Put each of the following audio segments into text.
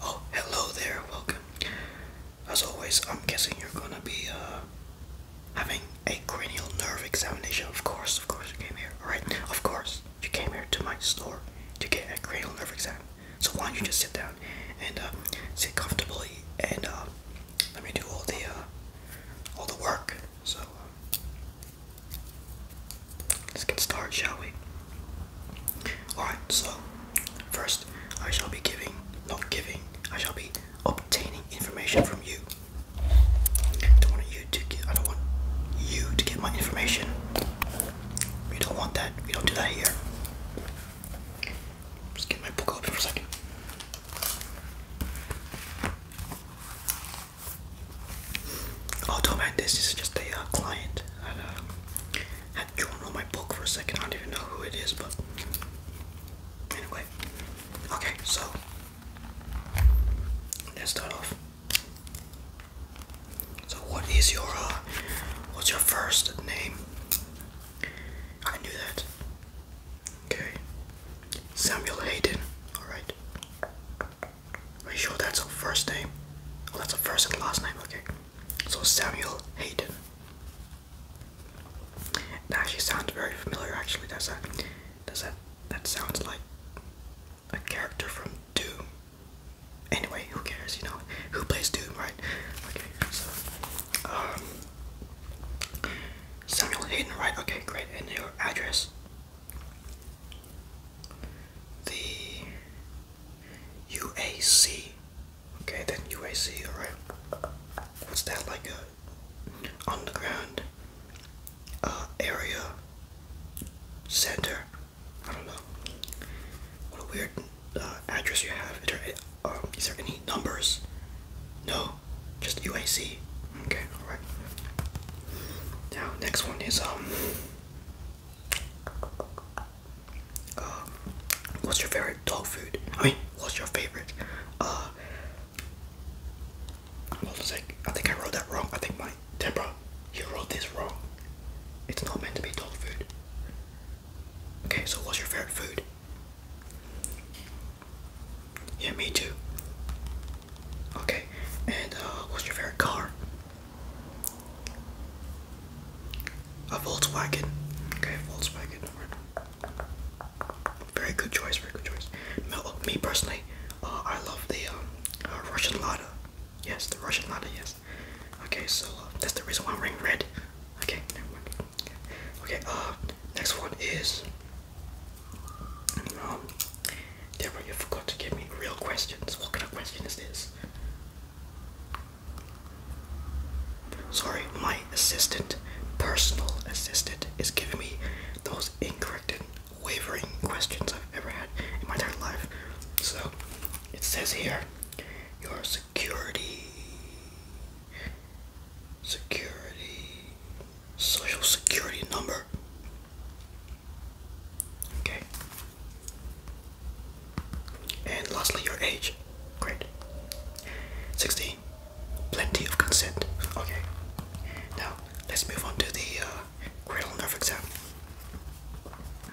Oh, hello there, welcome. As always, I'm guessing you're gonna be uh, having a cranial nerve examination. Of course, of course, you came here, alright? Of course, you came here to my store to get a cranial nerve exam. So, why don't you just sit down and uh, sit comfortably and uh, let me do all the, uh, all the work. So, uh, Let's get started, shall we? Alright, so first I shall be giving, not giving, I shall be obtaining information from you. I don't want you to get, I don't want you to get my information. We don't want that. We don't do that here. Just get my book open for a second. Although oh, my this is just a uh, client. I uh, had drawn on my book for a second. I don't even know who it is, but anyway. Okay, so let's start off. So what is your uh, what's your first name? I knew that. Okay. Samuel Hayden. Alright. Are you sure that's her first name? Oh, that's her first and last name, okay. So Samuel Hayden. That actually sounds very familiar actually, does that does that that sounds like a character from Doom. Anyway, who cares, you know? Who plays Doom, right? Okay, so um Samuel Hayden, right? Okay, great. And your address? the UAC. Okay, then UAC, alright. What's that like a underground uh, area center? I don't know. What a weird uh, address you have. is there um, any numbers? No just UAC. Okay, alright. Now, next one is, um, uh, what's your favorite dog food? I mean, what's your favorite, uh, hold on a sec. I think I wrote that wrong. I think my, Deborah, you wrote this wrong. It's not meant to be dog food. Okay, so what's your favorite food? Yeah, me too. Okay, and uh, what's your favorite car? A Volkswagen. Okay, Volkswagen. Very good choice. Very good choice. Oh, me personally, uh, I love the um, uh, Russian Lada. Yes, the Russian Lada. Yes. Okay, so uh, that's the reason why I'm wearing red. Okay, Okay, okay uh, next one is um, Deborah, you forgot to give me real questions. What kind of question is this? Sorry, my assistant, personal assistant, is giving me those incorrect and wavering questions I've ever had in my entire life. So, it says here, your security, security, social security number. Okay. And lastly, your age. Great. 16. Plenty of consent. Okay. Now, let's move on to the uh, nerve exam.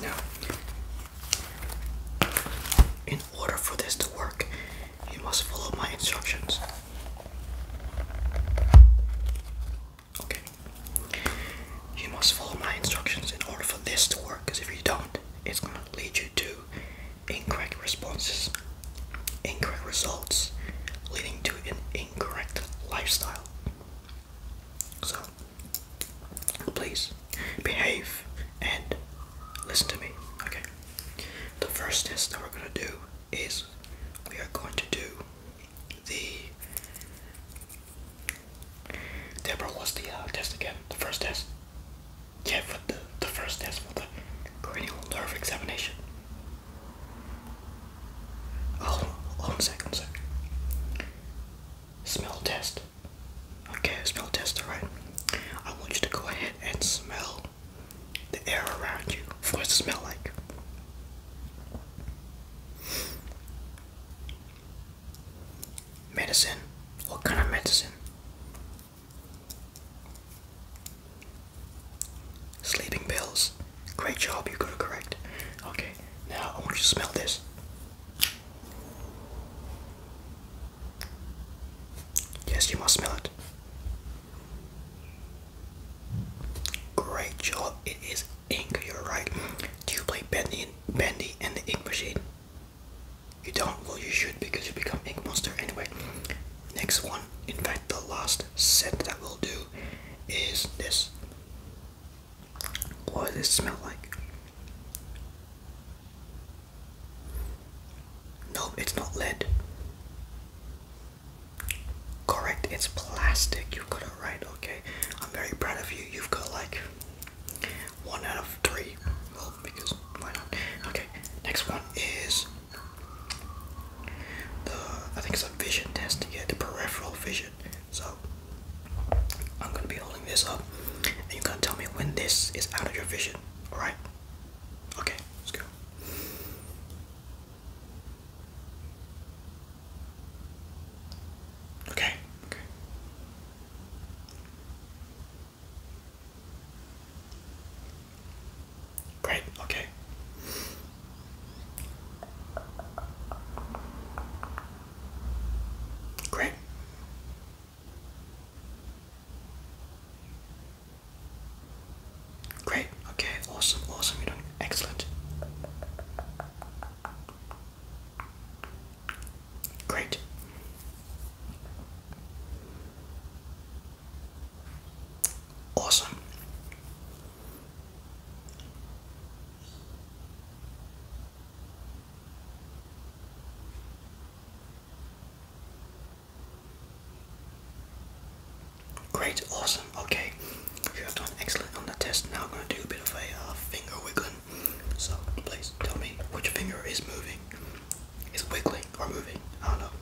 Now, in order for this to work, you must follow my instructions. Okay. You must follow my instructions in order for this to work, because if you don't, it's going to lead you to incorrect responses, incorrect results, leading to an incorrect lifestyle. So, please behave and listen to me, okay? The first test that we're going to do is we are going to do the Deborah was the uh, test again, the first test. Yeah, for the the first test for the cranial nerve examination. Oh, one second, one second. Smell test. Okay, smell test, alright. I want you to go ahead and smell the air around you for it smell like. Medicine? What kind of medicine? Sleeping pills. Great job, you got it correct. Okay, now I want you to smell this. Yes, you must smell it. Great job. It is ink. You're right. Do you play Bendy and, Bendy and the Ink Machine? You don't? Well, you should because you become Ink Monster anyway. Next one, in fact, the last set that we'll do is this. What does it smell like? No, it's not lead. Correct, it's plastic. You got it right, okay. I'm very proud of you. You've got like one out of three. Well, because why not? Okay, next one is the I think it's a vision test to get the peripheral vision. So I'm gonna be holding this up and you're gonna tell me when this is out of your vision, alright? Okay, let's go. Okay, okay. Great, okay. Great. Great, okay, awesome, awesome, you're doing excellent. Great. Awesome. Great, awesome, okay. You have done excellent on the test. Now I'm going to do a bit of a uh, finger wiggling. So, please tell me which finger is moving. Is wiggling or moving? I don't know.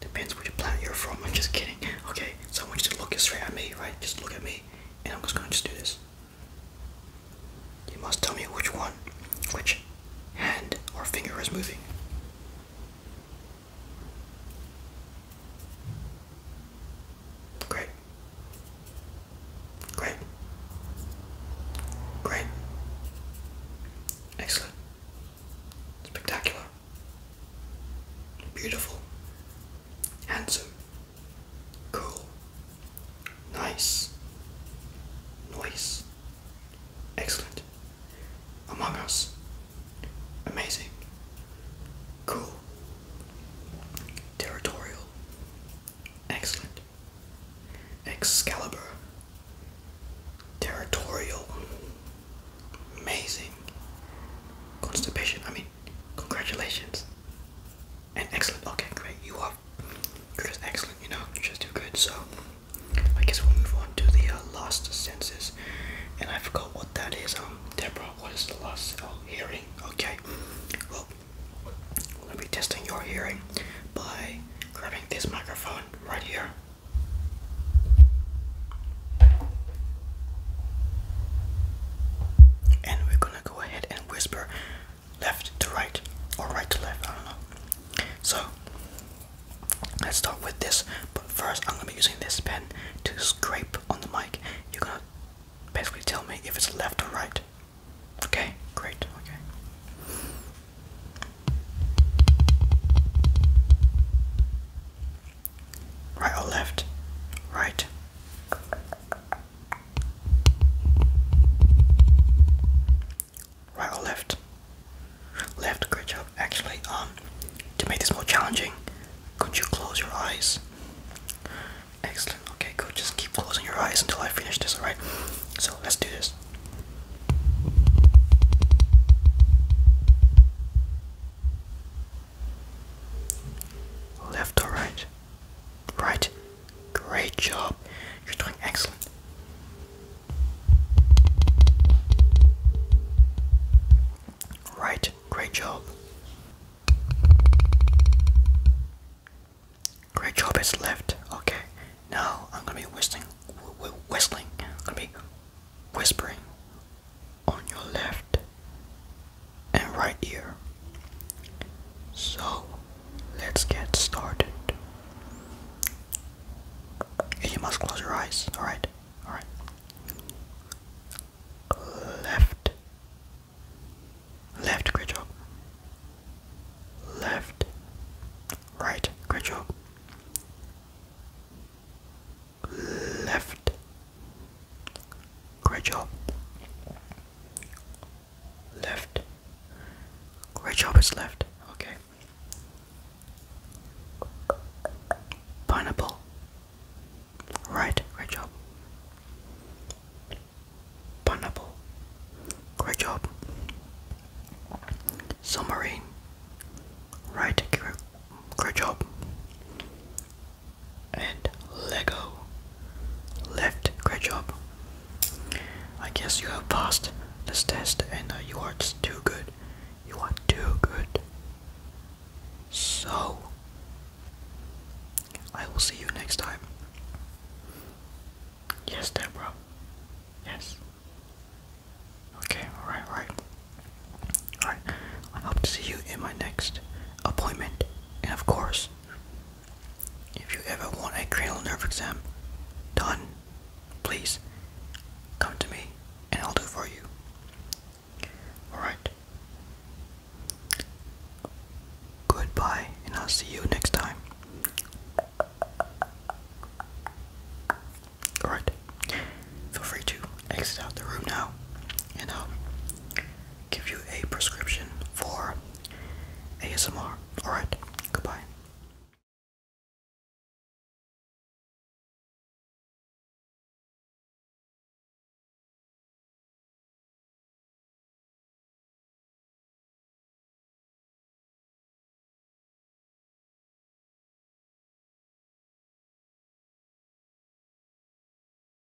Depends which planet you're from. I'm just kidding. Okay, so I want you to look straight at me, right? Just look at me, and I'm just going to just do this. You must tell me which one, which hand or finger is moving. Great. Great. Great. Excellent. Spectacular. Beautiful. Handsome. Cool. Nice. Noise. Excellent. Among Us. Amazing. Cool. Territorial. Excellent. Excalibur. Territorial. Amazing. Constipation. I mean, congratulations and excellent. Okay, great. You are just excellent. You know, just do good. So I guess we'll move on to the uh, lost senses, and I forgot what that is. Um, Deborah, what is the last uh, hearing. Okay. Well, we're gonna be testing your hearing by grabbing this microphone right here. And we're gonna go ahead and whisper left to right or right to left, I don't know. So let's start with this, but first I'm gonna be using this pen to scrape on the mic. You're gonna basically tell me if it's left or right. Okay, great, okay. Right or left? Right. Right or left? Left, good job. Actually, um, to make this more challenging, could you close your eyes? Excellent, okay, good. Just keep closing your eyes until I finish this, alright? So let's do this. Left or right? Right. Great job. You're doing excellent. Right, great job. Great job is left. Okay, now I'm gonna be whistling, whistling. I'm gonna be whispering on your left and right ear. So let's get started. you must close your eyes, alright? Alright. Left. Left, great job. Left. Right, great job. Left. Great job. Left. Great job, it's left. Okay. Pineapple. Right, great job. Pineapple. Great job. Submarine. Right, great job and Lego. Left, great job. I guess you have passed this test and uh, you are too good. You are too good. So, I will see you next time. Yes, Deborah. Yes. Okay, alright, alright. Alright, I hope to see you in my next appointment. And of course, if you ever want a cranial nerve exam done, please come to me and I'll do for you. Alright. Goodbye, and I'll see you next time. Alright, feel free to exit out the room now, and I'll give you a prescription for ASMR. Alright, goodbye.